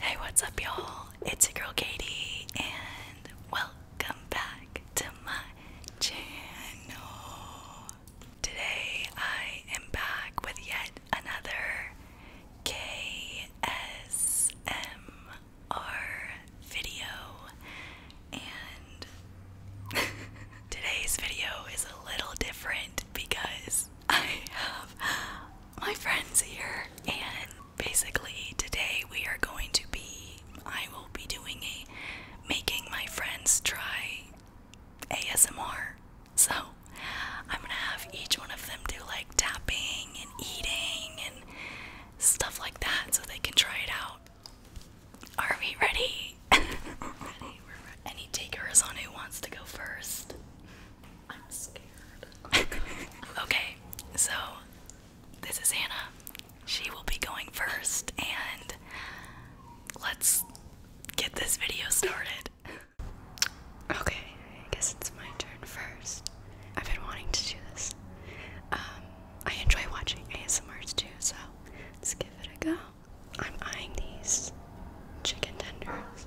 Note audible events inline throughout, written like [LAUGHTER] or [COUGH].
Hey, what's up, y'all? It's your girl Katie, and welcome back to my channel. Today, I am back with yet another KSMR video, and [LAUGHS] today's video is a little different because I have my friends here, and basically today we are going to be. I will be doing a making my friends try ASMR. So I'm gonna have each one of them do like tapping and eating and stuff like that so they can try it out. Are we ready? [LAUGHS] ready, we're Any takers on who wants to go first? [LAUGHS] okay, so this is Anna. She will be going first, and let's get this video started. Okay, I guess it's my turn first. I've been wanting to do this. Um, I enjoy watching ASMRs too, so let's give it a go. I'm eyeing these chicken tenders.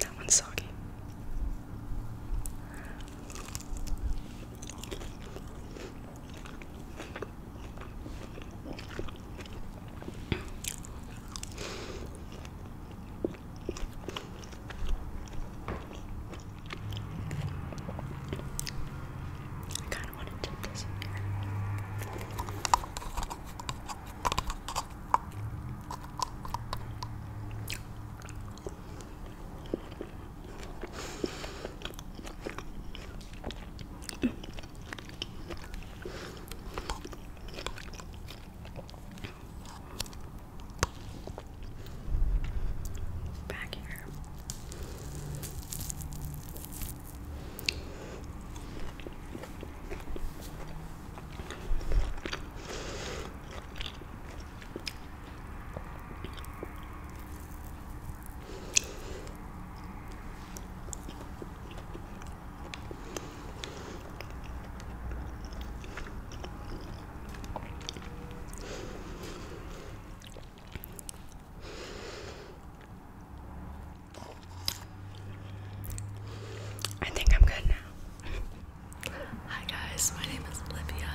That one's soggy. I kind of want to dip this in here. Mm. Back here. I think I'm good now. Hi guys, my name is Olivia,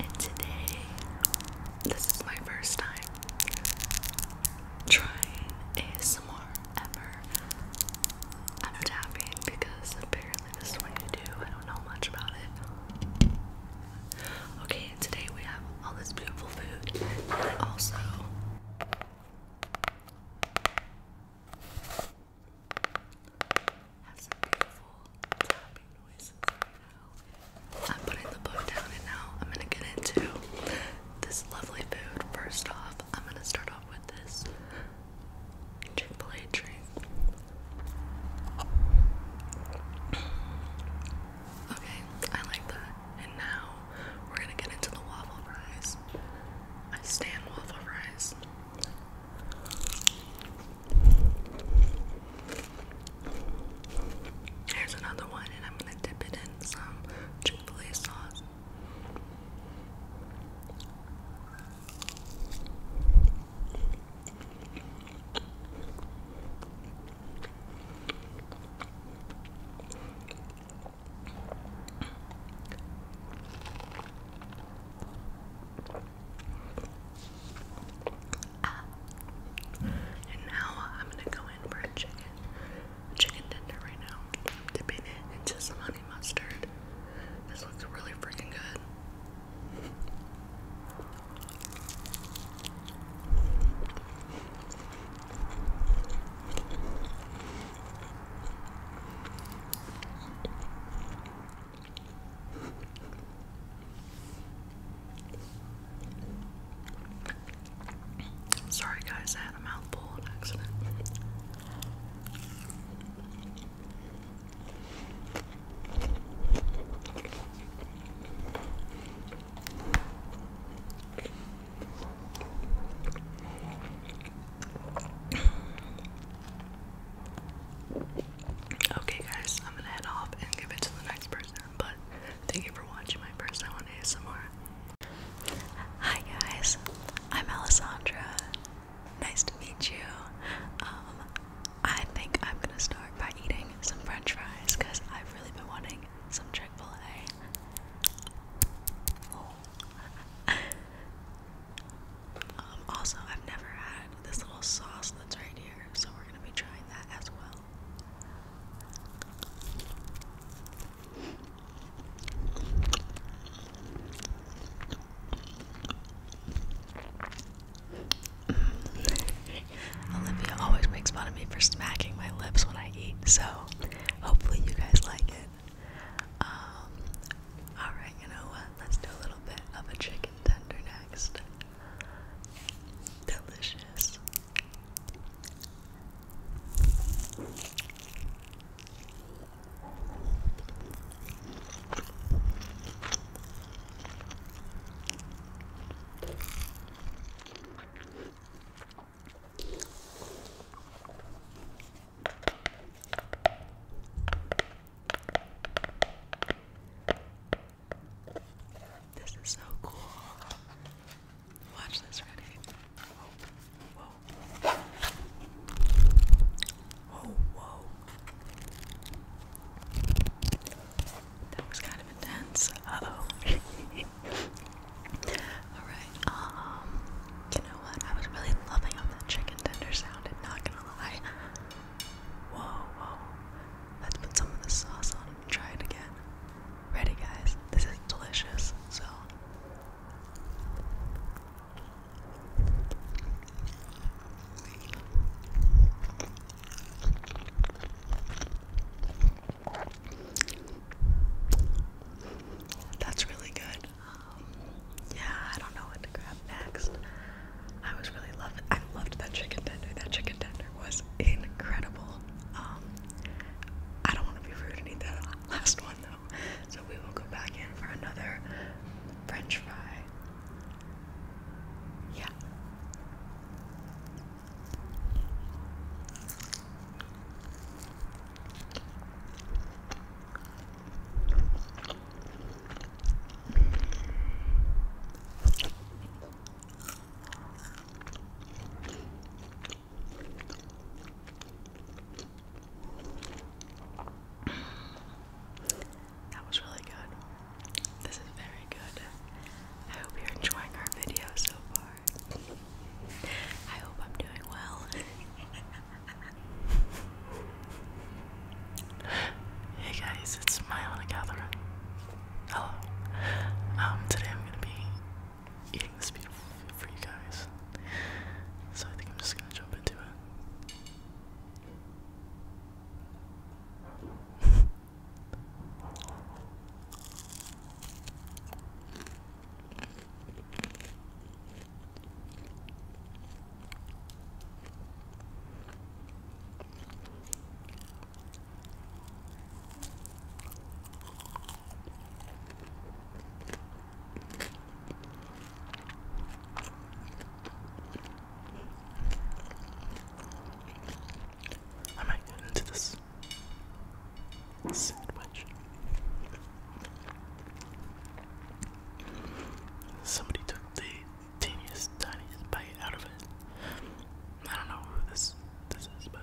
and today this is my first time trying a smore ever. I'm tapping because apparently this is what you do. I don't know much about it. Okay, today we have all this beautiful food, and also. I'm putting the book down and now I'm gonna get into this lovely food. First off, I'm gonna start off with this Triple drink. Okay, I like that. And now we're gonna get into the waffle fries. I stand waffle fries. Here's another one, and I'm gonna dip it in some Chick sauce. And now I'm gonna go in for a chicken, chicken tender right now. I'm dipping it into some honey mustard. This looks really freaking good. Sorry, guys, I had a mouthful on accident. Okay, guys, I'm gonna head off and give it to the next person. But thank you for watching my first I want ASMR. Hi guys, I'm Alessandra Nice to meet you. Um, I think I'm gonna start by eating some French fries because I've really been wanting some Chick Fil A. Um, also, I've never had this little sauce that's right here, so we're gonna be trying that as well. [LAUGHS] Olivia always makes fun of me for smacking my lips when I eat, so hopefully you guys like it. Um, alright, you know what? Let's do a little bit of a chicken tender next. Delicious. This is so cool. Watch this, Ready? Whoa, whoa, Oh, whoa. That was kind of intense. Uh oh. [LAUGHS] Alright, um, you know what? I was really loving how that chicken tender sounded, not gonna lie. Whoa, whoa. Let's put some of the sauce on and try it again. Ready, guys? This is delicious, so that's really good. Um, yeah, I don't know what to grab next. I was really loving. I loved that chicken tender. That chicken tender was incredible. Um, I don't want to be rude and eat that [LAUGHS] last one so we will go back in for another French fry. Yeah. That was really good. This is very good. I hope you're enjoying our video so far. I hope I'm doing well. [LAUGHS] hey guys, it's my Anna Catherine. Hello. Um, today I'm gonna be eating this beautiful food for you guys. So I think I'm just gonna jump into it. I might get into this sandwich. Somebody took the teeniest, tiniest bite out of it. I don't know who this this is, but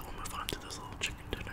We'll move on to this little chicken dinner.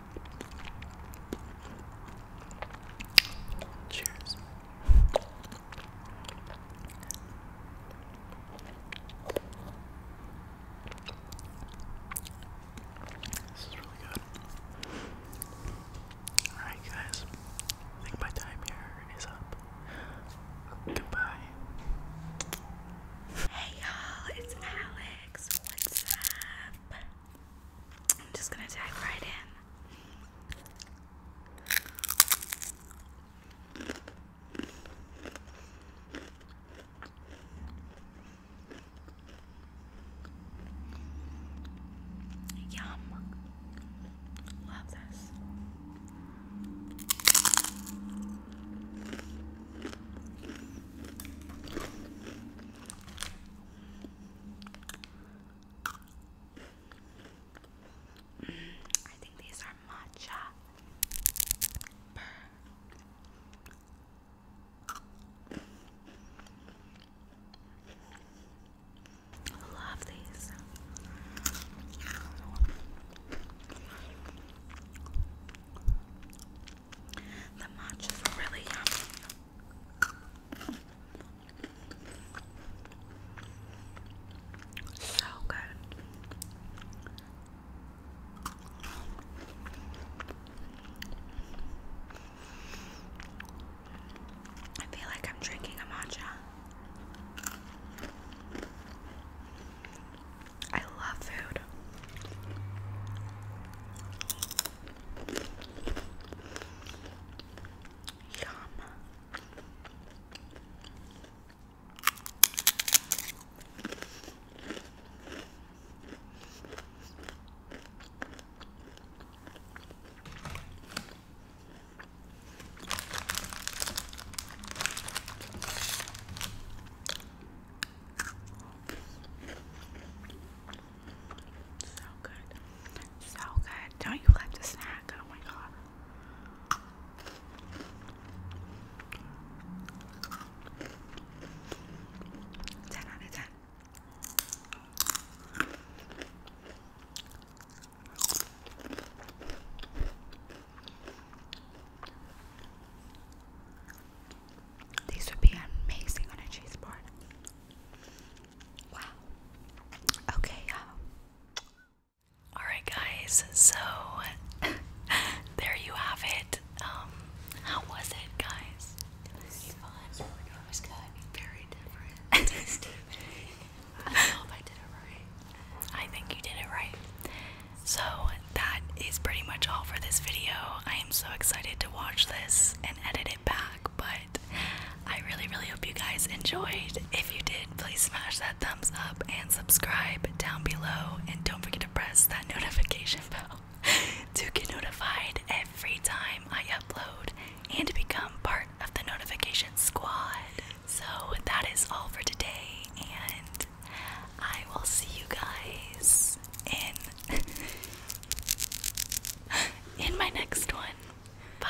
Cheers. This is really good. Alright, guys. I think my time here is up. Goodbye. Hey, y'all. It's Alex. What's up? I'm just gonna dive right in. Yum. Love this. I think these are matcha. Love these. The matchas is really yummy. So good. I feel like I'm drinking a matcha. I love food. Yum. So good. So good. Don't you like the snack? Oh my god. These would be amazing on a cheese board. Wow. Okay, um, Alright, guys, so [LAUGHS] there you have it. Um, how was it, guys? Very different. [LAUGHS] [LAUGHS] I think you did it right. So that is pretty much all for this video. I am so excited to watch this and edit it back, but I really, really hope you guys enjoyed. If you did, please smash that thumbs up and subscribe down below. And don't forget to press that [LAUGHS] notification bell to get notified every time I upload and to become part of the notification squad. So that is all for today, and I will see you guys in [LAUGHS] in my next one. Bye.